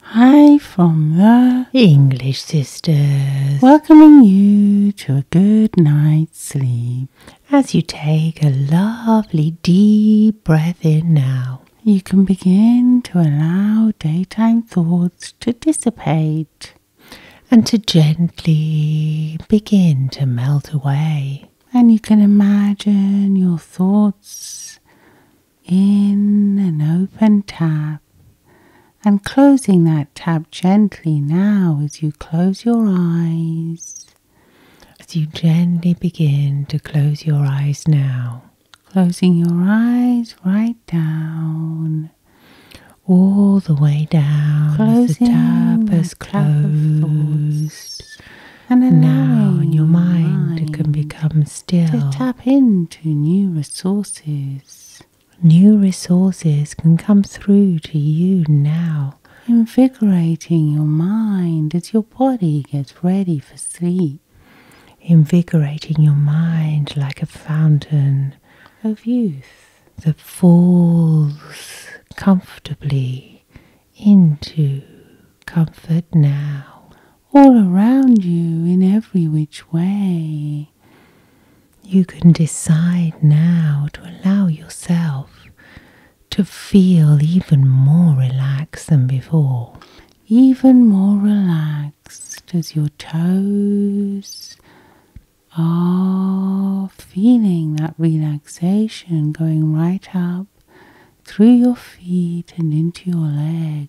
Hi from the English Sisters, welcoming you to a good night's sleep. As you take a lovely deep breath in now, you can begin to allow daytime thoughts to dissipate and to gently begin to melt away. And you can imagine your thoughts in an open tap and closing that tap gently now as you close your eyes. As you gently begin to close your eyes now, closing your eyes right down. All the way down, as the tap is closed. And allowing now in your mind, can become still. To tap in to new resources. New resources can come through to you now, invigorating your mind as your body gets ready for sleep. Invigorating your mind like a fountain of youth that falls comfortably into comfort now all around you in every which way. You can decide now to allow yourself to feel even more relaxed than before. Even more relaxed as your toes are feeling that relaxation going right up through your feet and into your legs.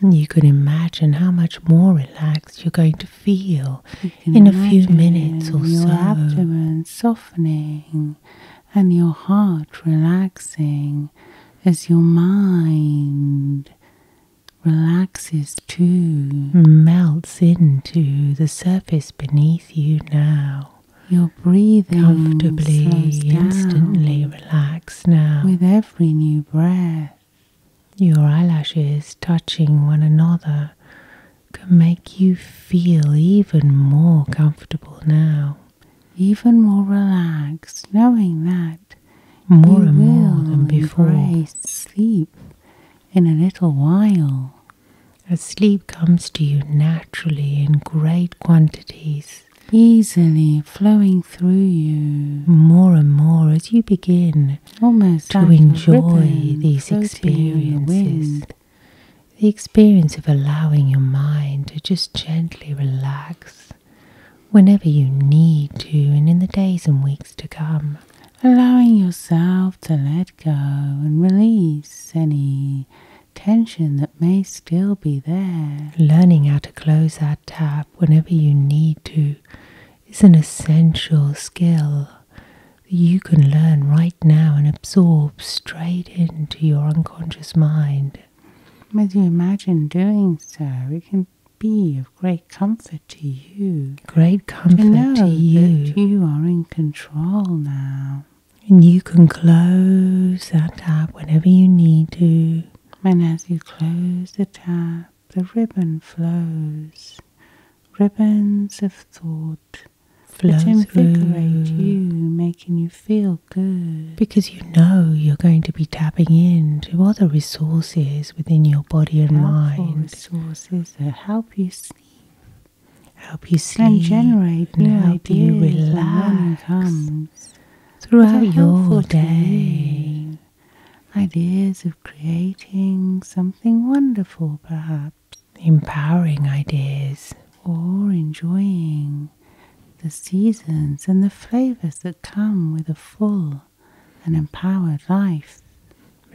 You can imagine how much more relaxed you're going to feel in a few minutes or your so. Your abdomen softening and your heart relaxing as your mind relaxes too. Melts into the surface beneath you now. you Your breathing comfortably, instantly relaxed now with every new breath. Your eyelashes touching one another can make you feel even more comfortable now, even more relaxed, knowing that more and more than before. Embrace sleep in a little while. As sleep comes to you naturally in great quantities, easily flowing through you more and more as you begin Almost to enjoy these experiences. The, experience of allowing your mind to just gently relax whenever you need to, and in the days and weeks to come. Allowing yourself to let go and release any tension that may still be there. Learning how to close that tab whenever you need to is an essential skill that you can learn right now and absorb straight into your unconscious mind. As you imagine doing so, it can be of great comfort to you. Great comfort to, you. That you are in control now. And you can close that up whenever you need to and as you close the tap, the ribbon flows. Ribbons of thought that invigorate you, making you feel good. Because you know you're going to be tapping into other resources within your body and mind. Resources that help you sleep. Help you sleep and generate new and ideas. Help you relax throughout your day. Ideas of creating something wonderful, perhaps. Empowering ideas. Or enjoying the seasons and the flavors that come with a full and empowered life.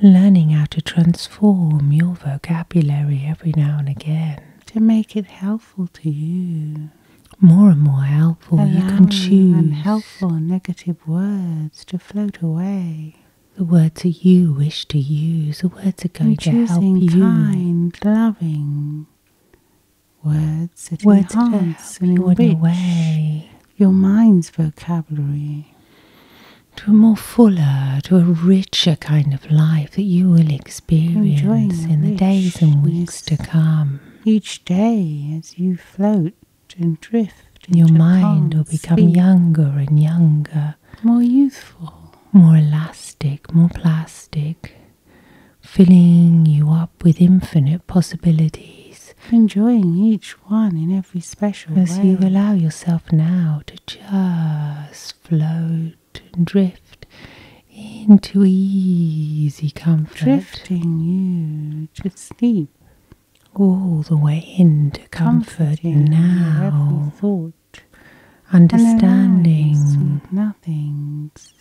Learning how to transform your vocabulary every now and again to make it helpful to you more and more helpful. you can choose unhelpful negative words to float away. The words that you wish to use, the words that go to help you. kind, loving words that words enhance that help and enrich your mind's vocabulary. To a more fuller, to a richer kind of life that you will experience in the days and weeks to come each day as you float and drift. Your mind will become younger and younger, more youthful, more elastic, more plastic, filling you up with infinite possibilities. Enjoying each one in every special way. As you allow yourself now to just float and drift into easy comfort. Drifting you to sleep. All the way into comfort Comforting now. Every thought. Understanding nothings.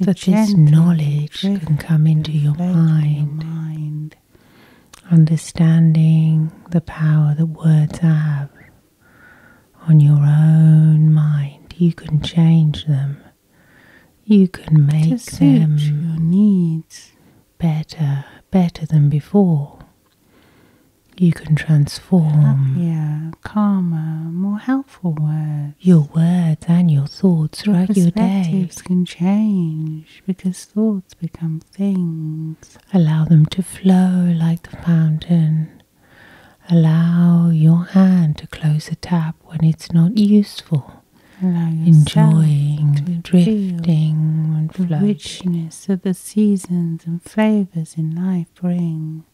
That this knowledge can come into your mind. your mind. Understanding the power that words have on your own mind. You can change them you can make them your needs better, better than before. You can transform. Yeah, calmer, more helpful words. Your words and your thoughts your throughout your day. Perspectives can change because thoughts become things. Allow them to flow like the fountain. Allow your hand to close the tap when it's not useful. Allow Enjoying, drifting, and floating. The richness of the seasons and flavors in life bring.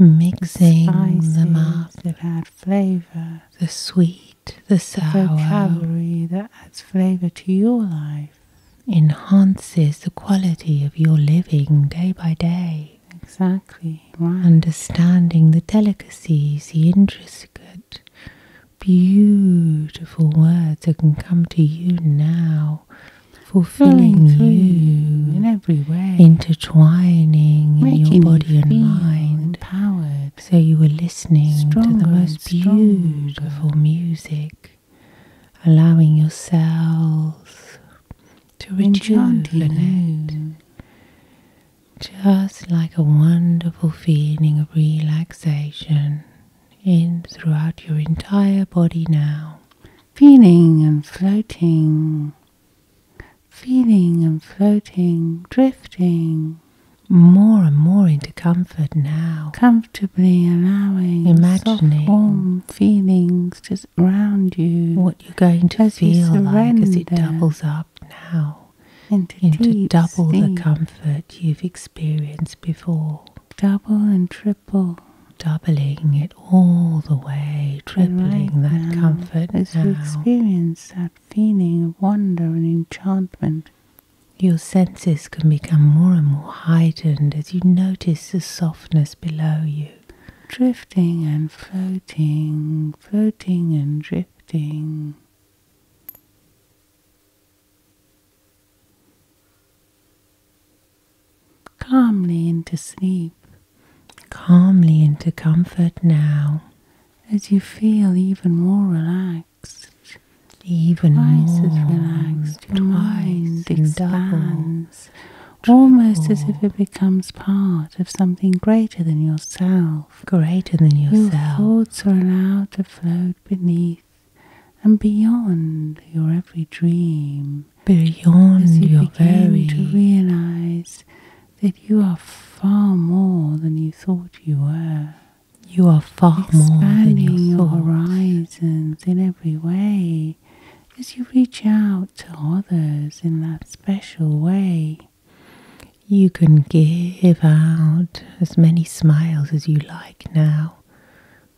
Mixing the mouth that add flavor. The sweet, the sour. The vocabulary that adds flavor to your life. Enhances the quality of your living day by day. Exactly. Understanding the delicacies, the intricate, beautiful words that can come to you now, fulfilling you in every way, intertwining in your body and mind. Empowered. So you were listening to the most beautiful music, allowing yourselves to rejuvenate just like a wonderful feeling of relaxation in throughout your entire body now. Feeling and floating, feeling and floating, drifting more and more into comfort now. Comfortably allowing imagining soft, warm feelings just around you. What you're going to feel like as it doubles up now into double the comfort you've experienced before. Double and triple. Doubling it all the way, tripling that comfort as you experience that feeling of wonder and enchantment. Your senses can become more and more heightened as you notice the softness below you drifting and floating, floating and drifting. Calmly into sleep, calmly into comfort now, as you feel even more relaxed, even twice more relaxed, your twice mind expands, almost as if it becomes part part of something greater than yourself. Greater than yourself. Your thoughts are allowed to float beneath and beyond your every dream. Beyond As you begin to realize that you are far more than you thought you were. You are far more than you your horizons in every way as you reach out to others in that special way. You can give out as many smiles as you like now,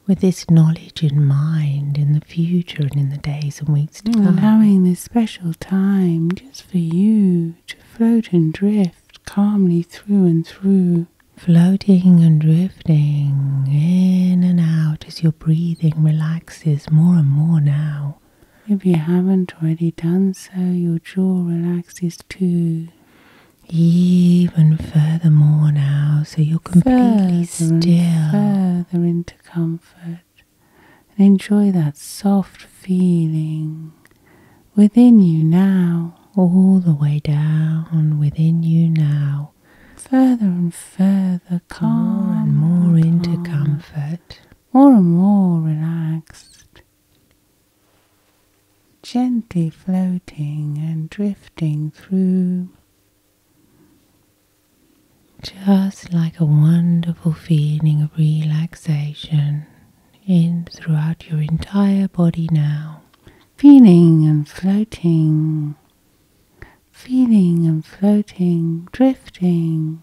with this knowledge in mind in the future and in the days and weeks to come. Allowing this special time just for you to float and drift calmly through and through. Floating and drifting in and out as your breathing relaxes more and more now. If you haven't already done so, your jaw relaxes too. Even furthermore now, so you're completely still. Further into comfort and enjoy that soft feeling within you now. All the way down within you now. Further and further, calm more and more into comfort more and more relaxed, gently floating and drifting through, just like a wonderful feeling of relaxation in throughout your entire body now. Feeling and floating, feeling and floating, drifting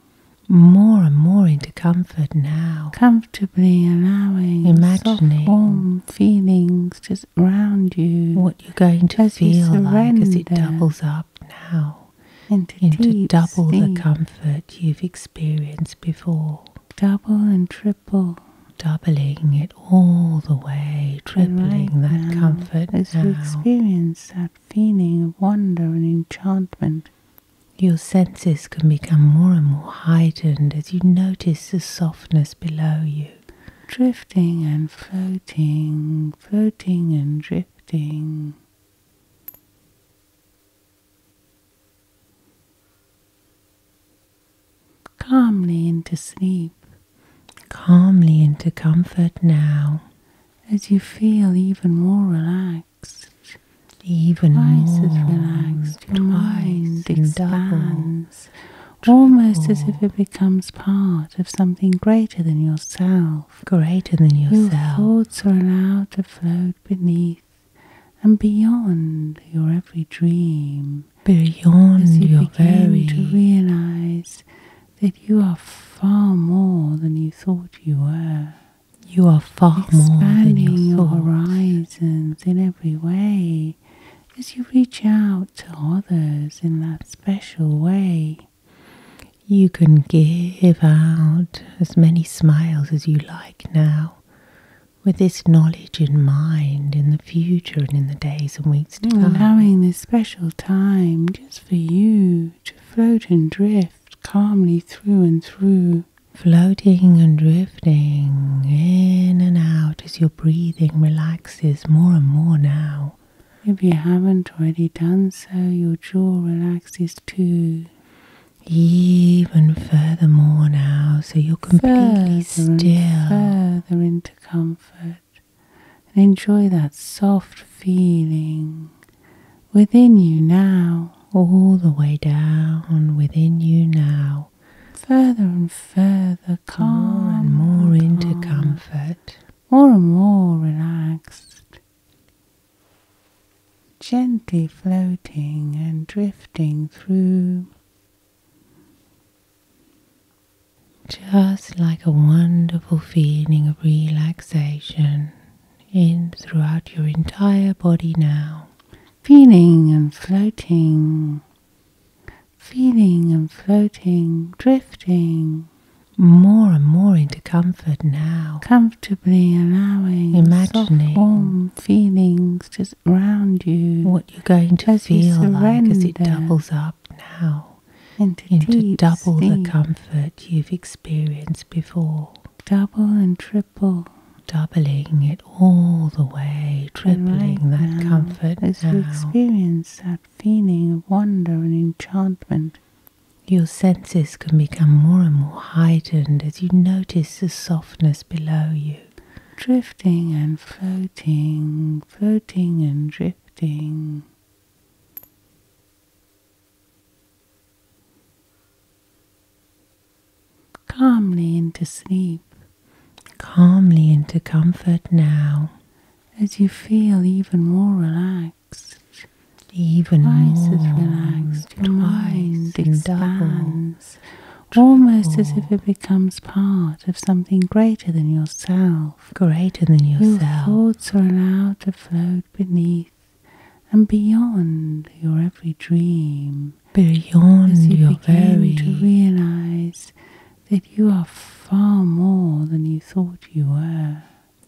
more and more into comfort now. Comfortably allowing imagining soft, warm feelings just around you. What you're going to feel like as it doubles up now into, double the comfort you've experienced before. Double and triple. Doubling it all the way, tripling that comfort as now. you experience that feeling of wonder and enchantment. Your senses can become more and more heightened as you notice the softness below you. Drifting and floating, floating and drifting. Calmly into sleep. Calmly into comfort now. As you feel even more relaxed relaxed. Even more. relaxed, your mind expands, almost as if it becomes part of something greater than yourself. Greater than yourself. Your thoughts are allowed to float beneath and beyond your every dream. Beyond as you your begin very to realize that you are far more than you thought you were. You are far more than your, horizons in every way as you reach out to others in that special way. You can give out as many smiles as you like now, with this knowledge in mind in the future and in the days and weeks to mm, come. Allowing this special time just for you to float and drift calmly through and through. Floating and drifting in and out as your breathing relaxes more and more now. If you haven't already done so, your jaw relaxes too. Even further more now, so you're completely still. further into comfort. And enjoy that soft feeling within you now, all the way down within you now, further and further, calm more and more into comfort, more and more relaxed, gently floating and drifting through. Just like a wonderful feeling of relaxation in throughout your entire body now. Feeling and floating, feeling and floating, drifting more and more into comfort now. Comfortably allowing, imagining, soft, feelings just around you. What you're going to feel like as it doubles up now into, double the comfort you've experienced before. Double and triple, doubling it all the way, tripling right that now, comfort. As you experience that feeling of wonder and enchantment, your senses can become more and more heightened as you notice the softness below you. Drifting and floating, floating and drifting calmly into sleep, calmly into comfort now, as you feel even more relaxed. Even twice more, relaxed, your mind expands, almost as if it becomes part of something greater than yourself. Greater than yourself. Your thoughts are allowed to float beneath and beyond your every dream. Beyond as you begin to realize that you are far more than you thought you were.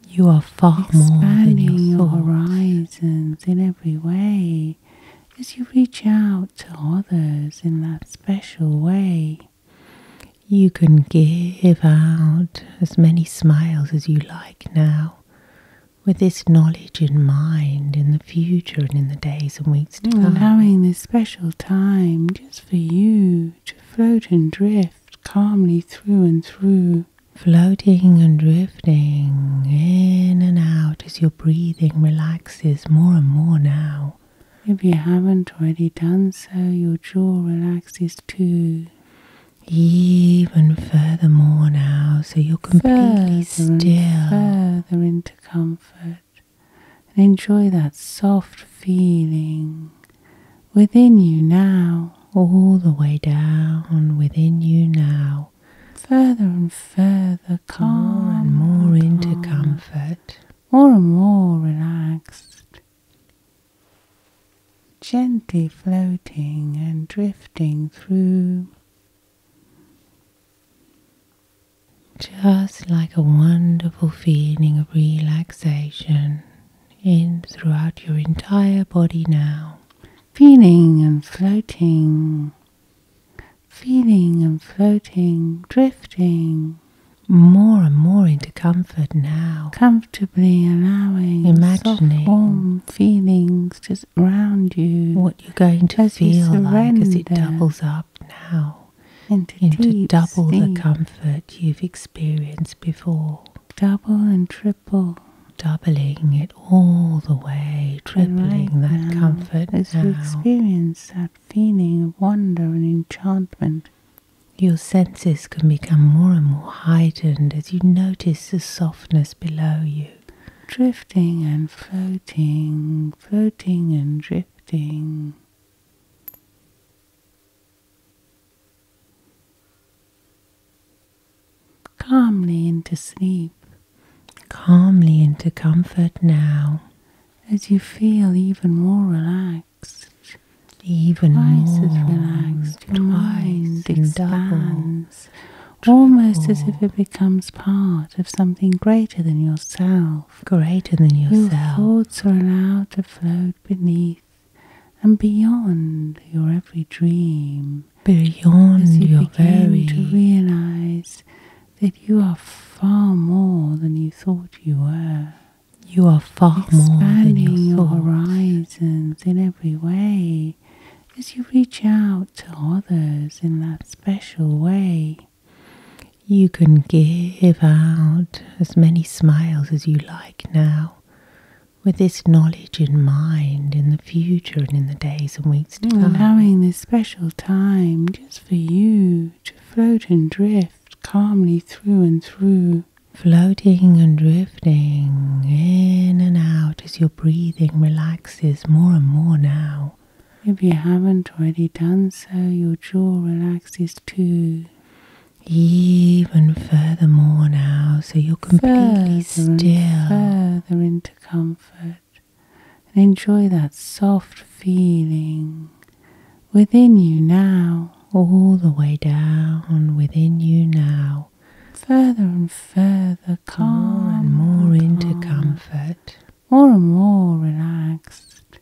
You are far Expanding more than you your horizons in every way as you reach out to others in that special way. You can give out as many smiles as you like now with this knowledge in mind in the future and in the days and weeks to come. Allowing this special time just for you to float and drift calmly through and through. Floating and drifting in and out as your breathing relaxes more and more now. If you haven't already done so, your jaw relaxes too even furthermore now, so you're completely still. Further into comfort and enjoy that soft feeling within you now. All the way down within you now. Further and further calm. More and more into comfort. More and more relaxed gently floating and drifting through, just like a wonderful feeling of relaxation in throughout your entire body now. Feeling and floating, feeling and floating, drifting more and more into comfort comfort now, comfortably allowing imagining soft, warm feelings just round you. What you're going to feel like as it doubles up now into, double the comfort you've experienced before. Double and triple doubling it all the way, tripling that comfort as you experience that feeling of wonder and enchantment. Your senses can become more and more heightened as you notice the softness below you, drifting and floating, floating and drifting. Calmly into sleep, calmly into comfort now, as you feel even more relaxed even twice more as relaxed, twice expands, almost as if it becomes part of something greater than yourself. Greater than yourself. Your thoughts are allowed to float beneath and beyond your every dream. Beyond as you begin to realize that you are far more than you thought you were. You are far more than you thought. your horizons in every way as you reach out to others in that special way. You can give out as many smiles as you like now, with this knowledge in mind in the future and in the days and weeks to come. Allowing this special time just for you to float and drift calmly through and through floating and drifting in and out as your breathing relaxes more and more now. If you haven't already done so, your jaw relaxes too. Even further more now, so you're completely still. further into comfort and enjoy that soft feeling within you now. All the way down within you now further and further calm, more and more into comfort, more and more relaxed,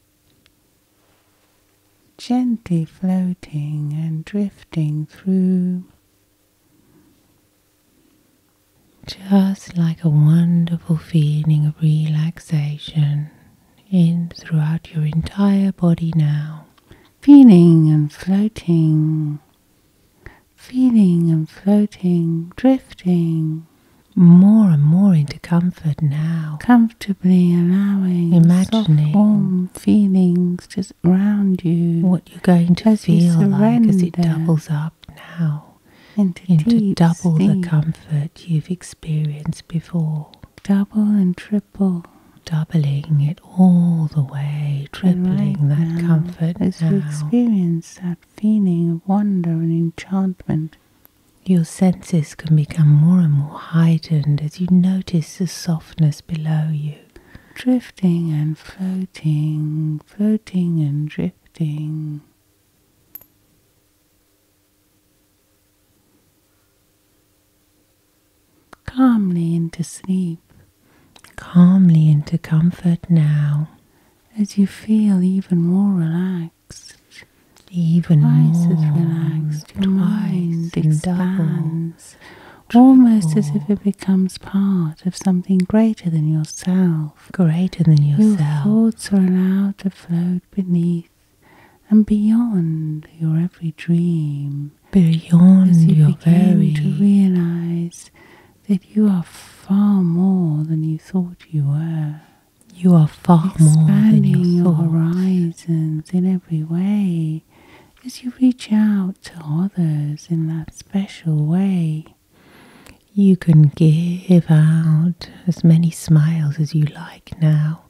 gently floating and drifting through. Just like a wonderful feeling of relaxation in throughout your entire body now feeling and floating, feeling and floating, drifting more and more into comfort now. Comfortably allowing imagining soft, warm feelings just around you. What you're going to feel like as it doubles up now into, double the comfort you've experienced before. Double and triple doubling it all the way, tripling right that now, comfort. As now. you experience that feeling of wonder and enchantment, your senses can become more and more heightened as you notice the softness below you. Drifting and floating, floating and drifting calmly into sleep, calmly into comfort now, as you feel even more relaxed, even twice more as relaxed, your mind expands. Almost as if it becomes part of something greater than yourself. Greater than yourself. Your thoughts are allowed to float beneath and beyond your every dream beyond as you begin to realize that you are far more than you thought you were. You are far more than you thought. your horizons in every way as you reach out to others in that special way. You can give out as many smiles as you like now,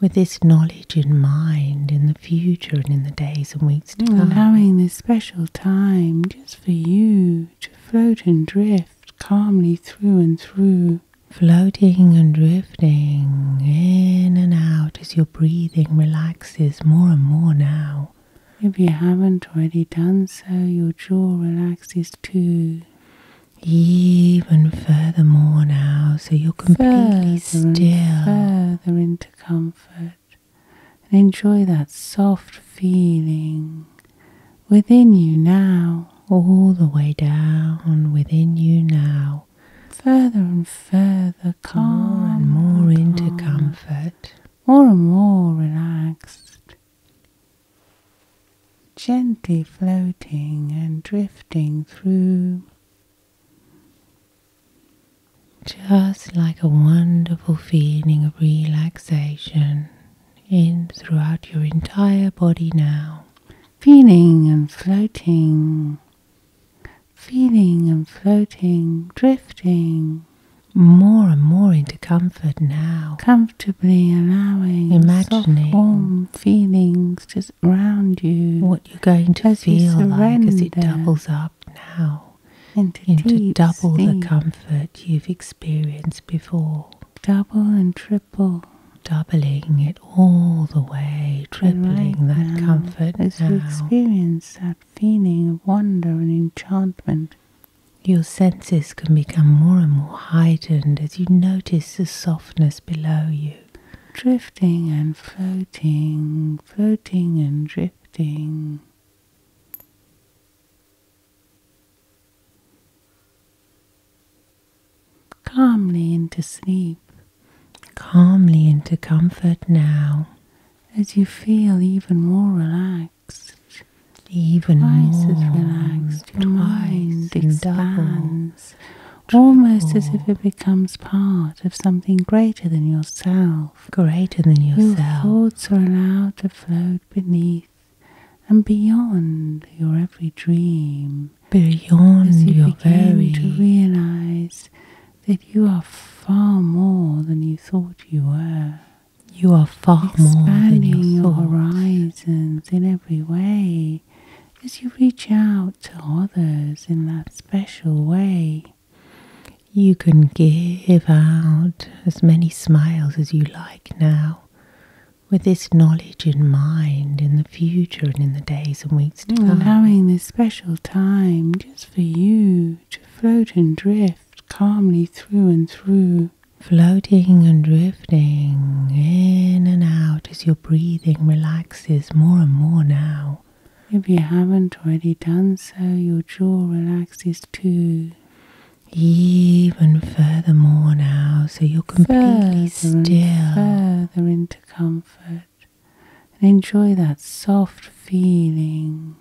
with this knowledge in mind in the future and in the days and weeks takes ah. Allowing this special time just for you to float and drift calmly through and through. Floating and drifting in and out as your breathing relaxes more and more now. If you haven't already done so, your jaw relaxes too. Even further now, so you're completely still comfort and enjoy that soft feeling within you now, all the way down within you now, further and further calm more and more into comfort, more and more relaxed, gently floating and drifting through just like a wonderful feeling of relaxation in throughout your entire body now. Feeling and floating, feeling and floating, drifting more and more into comfort now. Comfortably allowing imagining warm feelings just around you you're going to feel like as it doubles up now into, double the comfort you've experienced before. Double and triple. Doubling it all the way, tripling right that now, comfort as you experience that feeling of wonder and enchantment. Your senses can become more and more heightened as you notice the softness below you drifting and floating floating, and drifting. Calmly into sleep, calmly into comfort now, as you feel even more relaxed, even twice more, relaxed, your mind expands, almost as if it becomes part of something greater than yourself. Greater than yourself. Your thoughts are allowed to float beneath and beyond your every dream. Beyond as you begin to realize that you are far more than you thought you were. You are far more than your horizons in every way as you reach out to others in that special way. You can give out as many smiles as you like now, with this knowledge in mind in the future and in the days and weeks to come. Allowing this special time just for you to float and drift calmly through and through. Floating and drifting in and out as your breathing relaxes more and more now. If you haven't already done so, your jaw relaxes too. Even furthermore now, so you're completely still. Further into comfort. And enjoy that soft feeling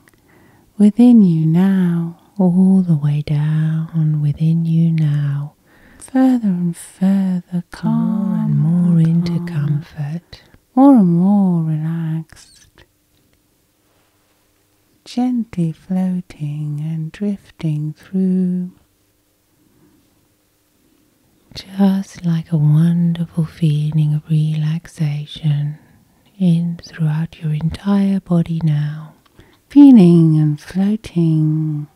within you now. All the way down within you now. Further and further, calm. More and more into comfort more and more relaxed, gently floating and drifting through, just like a wonderful feeling of relaxation in throughout your entire body now. Feeling and floating,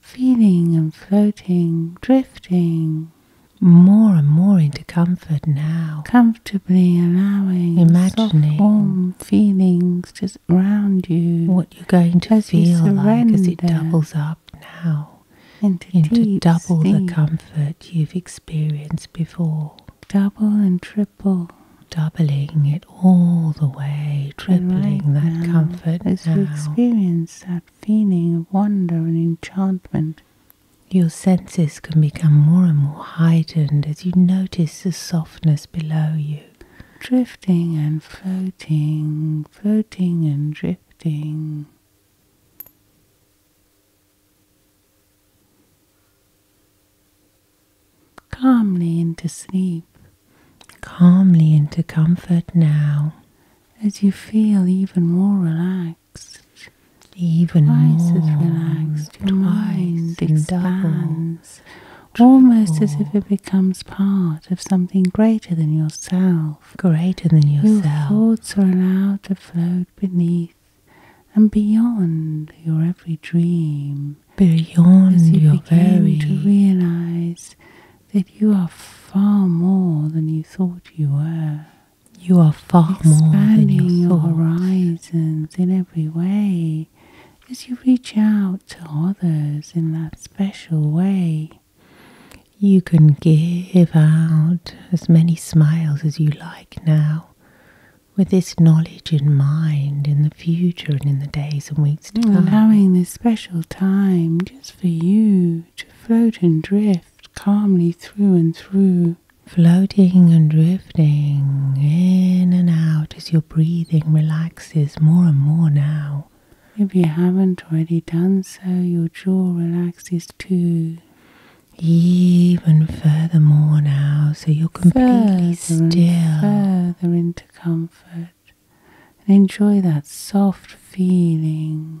feeling and floating, drifting more and more into comfort now. Comfortably allowing imagining soft, warm feelings just round you. What you're going to feel like as it doubles up now into, double the comfort you've experienced before. Double and triple. Doubling it all the way, tripling that comfort as now. you experience that feeling of wonder and enchantment. Your senses can become more and more heightened as you notice the softness below you. Drifting and floating, floating and drifting. Calmly into sleep. Calmly into comfort now. As you feel even more relaxed relaxed. Even more, relaxed, your mind expands, almost as if it becomes part of something greater than yourself. Greater than yourself. Your thoughts are allowed to float beneath and beyond your every dream. Beyond as you begin to realize that you are far more than you thought you were. You are far more than your, horizons in every way as you reach out to others in that special way. You can give out as many smiles as you like now, with this knowledge in mind in the future and in the days and weeks to mm, come. Allowing this special time just for you to float and drift calmly through and through. Floating and drifting in and out as your breathing relaxes more and more now. If you haven't already done so, your jaw relaxes too. Even furthermore now, so you're completely still. further into comfort. And enjoy that soft feeling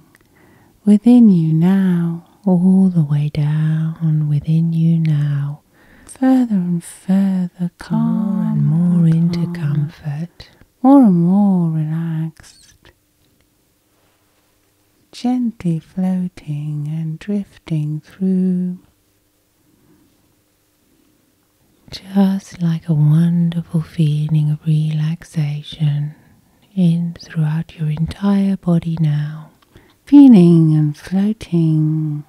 within you now, all the way down within you now, further and further calm and more into comfort, more and more relaxed, gently floating and drifting through. Just like a wonderful feeling of relaxation in throughout your entire body now, feeling and floating,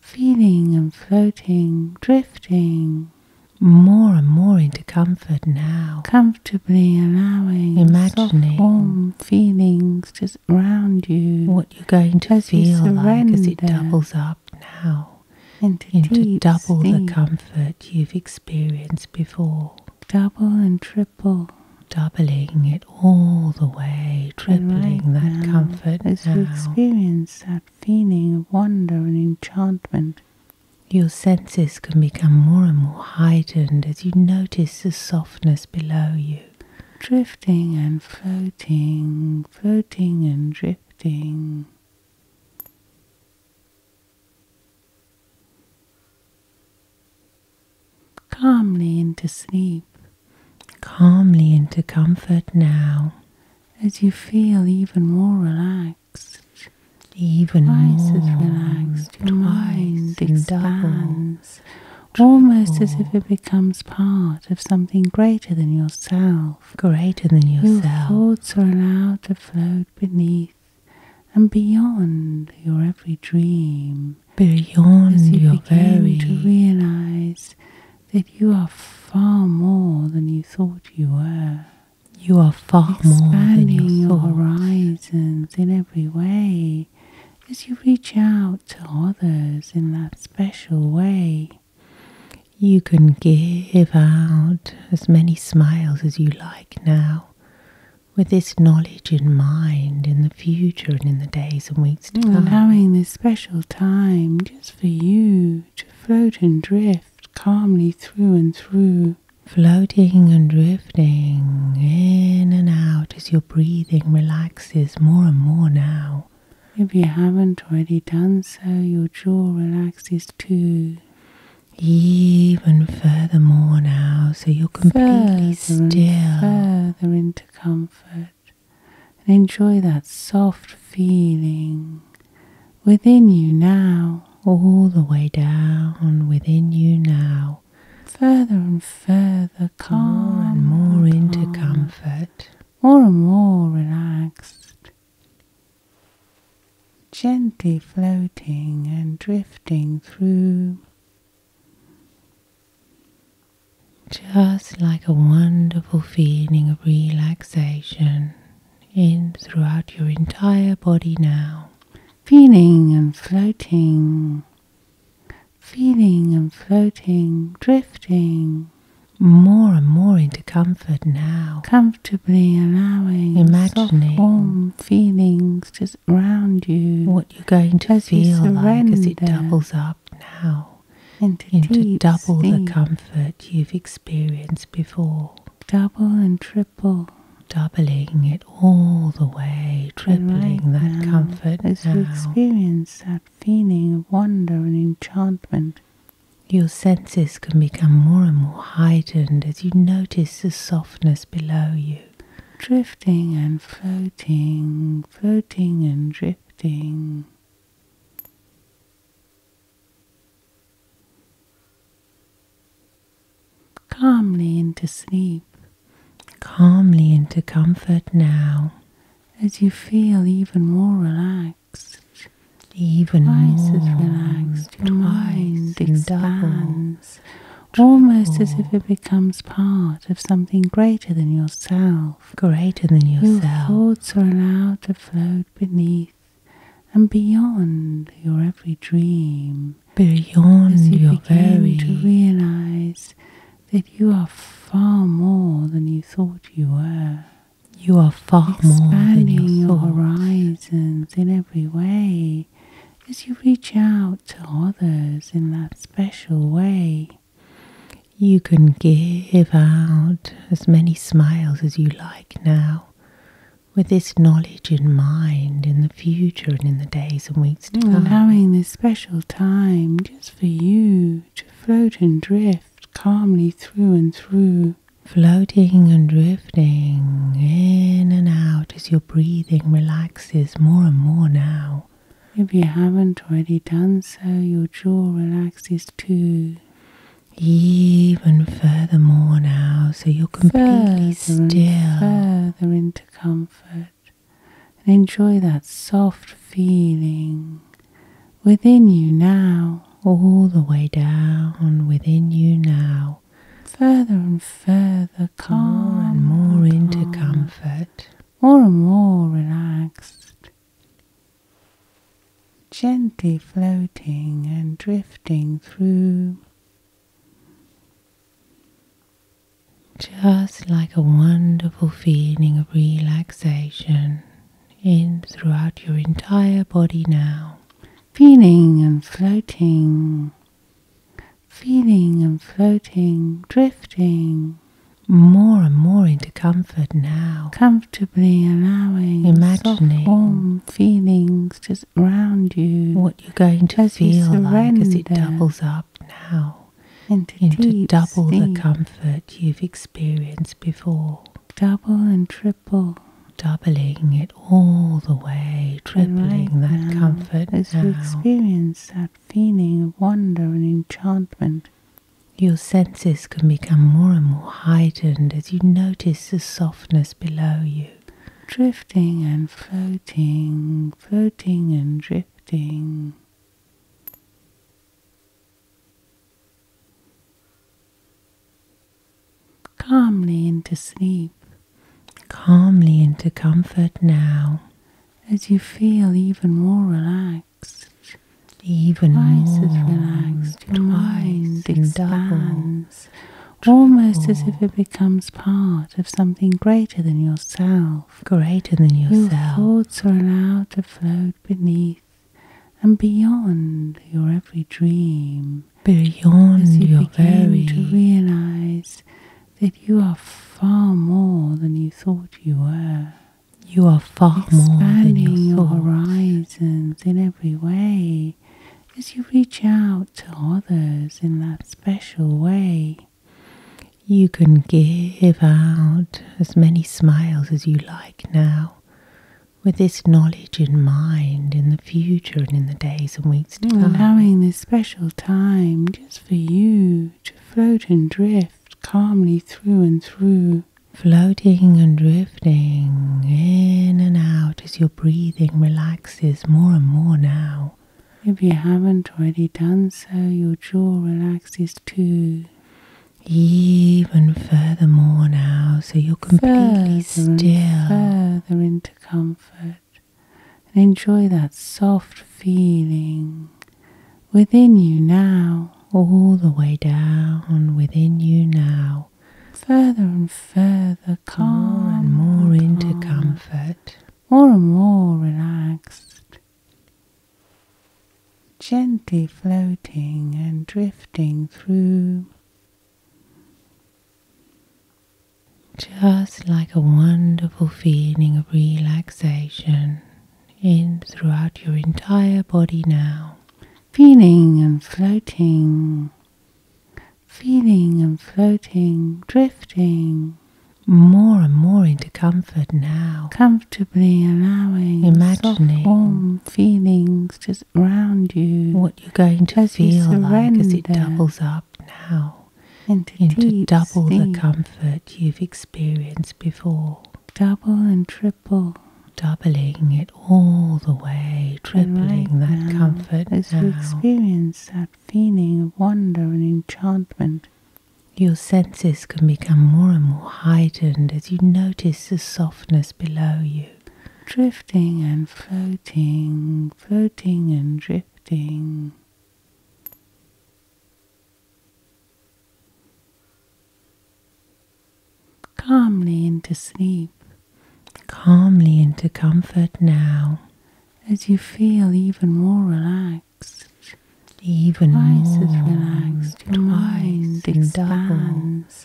feeling and floating, drifting more and more into comfort now. Comfortably allowing imagining warm feelings just around you. What you're going to feel like as it doubles up now into, double the comfort you've experienced before. Double and triple, doubling it all the way, tripling that comfort. As you experience that feeling of wonder and enchantment, your senses can become more and more heightened as you notice the softness below you. Drifting and floating, floating and drifting. Calmly into sleep, calmly into comfort now, as you feel even more relaxed. Even Twice more. relaxed, your mind expands, almost as if it becomes part of something greater than yourself. Greater than yourself. Your thoughts are allowed to float beneath and beyond your every dream. Beyond as you begin to realize that you are far more than you thought you were. You are far Expanding more than you thought. your horizons in every way as you reach out to others in that special way. You can give out as many smiles as you like now with this knowledge in mind in the future and in the days and weeks to come. Allowing this special time just for you to float and drift calmly through and through. Floating and drifting in and out as your breathing relaxes more and more now. If you haven't already done so, your jaw relaxes too even furthermore now, so you're completely still. Further into comfort and enjoy that soft feeling within you now. All the way down within you now. Further and further calm. More and more into comfort. More and more relaxed gently floating and drifting through, just like a wonderful feeling of relaxation in throughout your entire body now. Feeling and floating, feeling and floating, drifting more and more into comfort now. Comfort comfortably allowing imagining soft, warm feelings just around you. What you're going to feel like as it doubles up now into, double the comfort you've experienced before. Double and triple. Doubling it all the way, tripling that comfort as you experience that feeling of wonder and enchantment. Your senses can become more and more heightened as you notice Notice the softness below you, drifting and floating, floating and drifting. Calmly into sleep, calmly into comfort now, as you feel even more relaxed, even Twice more relaxed mind mm, expands, almost as if it becomes part of something greater than yourself. Greater than yourself. Your thoughts are allowed to float beneath and beyond your every dream. Beyond as you begin to realize that you are far more than you thought you were. You are far Expanding more than you thought. your horizons in every way as you reach out to others in that special way. You can give out as many smiles as you like now, with this knowledge in mind in the future and in the days and weeks to mm, come. Allowing this special time just for you to float and drift calmly through and through Floating and drifting in and out as your breathing relaxes more and more now. If you haven't already done so, your jaw relaxes too. Even further more now, so you're completely still. further into comfort and enjoy that soft feeling within you now. All the way down within you now further and further calm, more and more into comfort, more and more relaxed, gently floating and drifting through. Just like a wonderful feeling of relaxation in throughout your entire body now, feeling and floating, feeling and floating, drifting more and more into comfort now. Comfortably allowing, imagining, warm feelings just around you. What you're going to feel like as it doubles up now into, double the comfort you've experienced before. Double and triple doubling it all the way, tripling that comfort. As now. you experience that feeling of wonder and enchantment, your senses can become more and more heightened as you notice the softness below you. Drifting and floating, floating and drifting calmly into sleep, calmly into comfort now, as you feel even more relaxed. Even Twice more as relaxed, your mind expands, almost as if it becomes part of something greater than yourself. Greater than yourself. Your thoughts are allowed to float beneath and beyond your every dream beyond you begin to realize that you are far more than you thought you were. You are far more than your horizons in every way as you reach out to others in that special way. You can give out as many smiles as you like now with this knowledge in mind in the future and in the days and weeks to come. Allowing this special time just for you to float and drift calmly through and through. Floating and drifting in and out as your breathing relaxes more and more now. If you haven't already done so, your jaw relaxes too. Even further more now, so you're completely further still. further into comfort and enjoy that soft feeling within you now, all the way down within you now. Further and further, calm more and more into comfort, more and more relaxed, gently floating and drifting through just like a wonderful feeling of relaxation in throughout your entire body now. Feeling and floating, feeling and floating, drifting more and more into comfort now. Comfortably allowing imagining warm feelings just around you. What you're going to feel like as it doubles up now into, double the comfort you've experienced before. Double and triple. Doubling it all the way, tripling that comfort as you experience that feeling of wonder and enchantment. Your senses can become more and more heightened as you notice the softness below you drifting and floating, floating and drifting. Calmly into sleep, calmly into comfort now, as you feel even more relaxed. Even Twice more, relaxed, your mind expands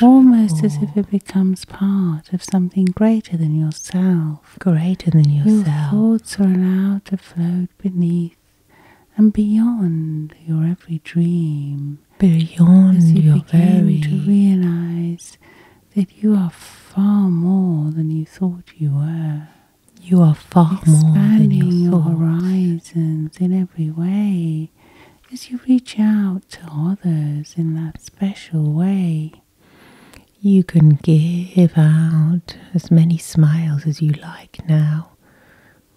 almost as if it becomes part of something greater than yourself. Greater than yourself. Your thoughts are allowed to float beneath and beyond your every dream. Beyond as you your begin very to realize that you are far more than you thought you were. You are far Expanding more than your thought. horizons in every way as you reach out to others in that special way. You can give out as many smiles as you like now,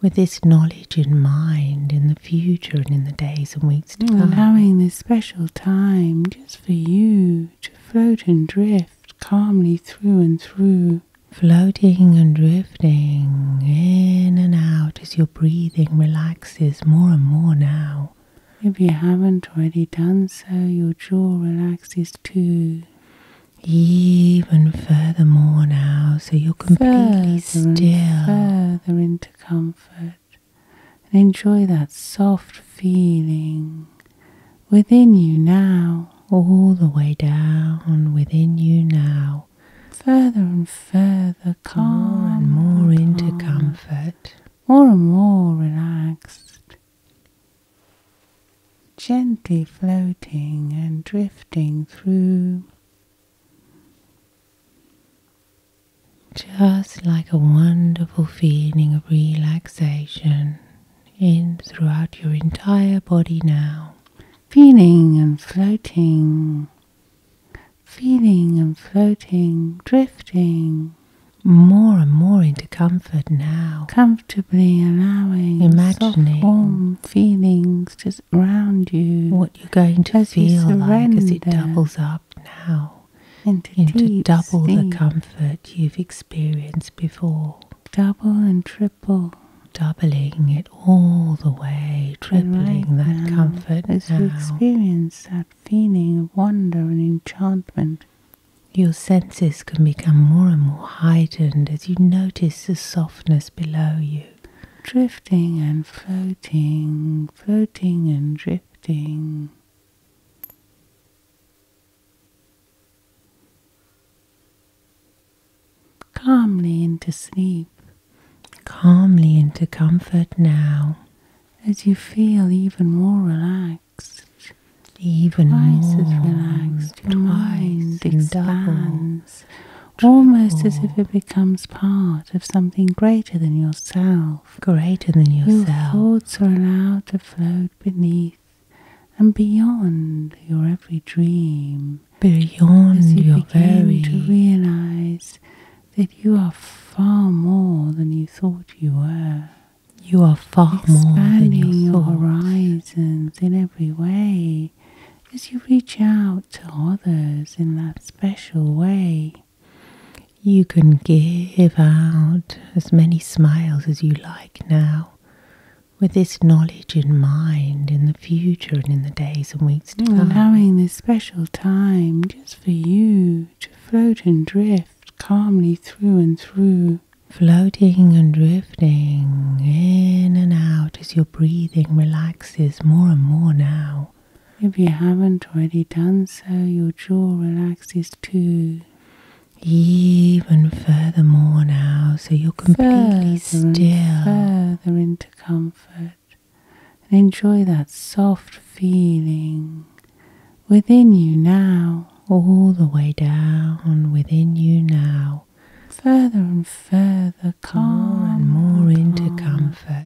with this knowledge in mind in the future and in the days and weeks to come. Allowing this special time just for you to float and drift calmly through and through. Floating and drifting in and out as your breathing relaxes more and more now if you haven't already done so, your jaw relaxes too. Even furthermore now, so you're completely further still. further into comfort. And enjoy that soft feeling within you now. All the way down within you now. Further and further, calm. More and more into comfort more and more relaxed, gently floating and drifting through, just like a wonderful feeling of relaxation in throughout your entire body now. Feeling and floating feeling and floating, drifting more and more into comfort now. Comfortably allowing imagining warm feelings just around you. What you're going to feel like as it doubles up now into, double the comfort you've experienced before. Double and triple. Doubling it all the way, tripling right that now, comfort as now. you experience that feeling of wonder and enchantment. Your senses can become more and more heightened as you notice the softness below you. Drifting and floating, floating and drifting. Calmly into sleep. Calmly into comfort now as you feel even more relaxed. Even Twice more as relaxed, your mind expands, double, almost as if it becomes part of something greater than yourself. Greater than yourself. Your thoughts are allowed to flow beneath and beyond your every dream. Beyond you your begin very to realize that you are far more than you thought you were. You are far Expanding more than you your horizons in every way as you reach out to others in that special way. You can give out as many smiles as you like now, with this knowledge in mind in the future and in the days and weeks to come. Allowing this special time just for you to float and drift calmly through and through. Floating and drifting in and out as your breathing relaxes more and more now. If you haven't already done so, your jaw relaxes too. Even further more now, so you're completely still. further into comfort and enjoy that soft feeling within you now, all the way down within you now, further and further, calm and more into comfort.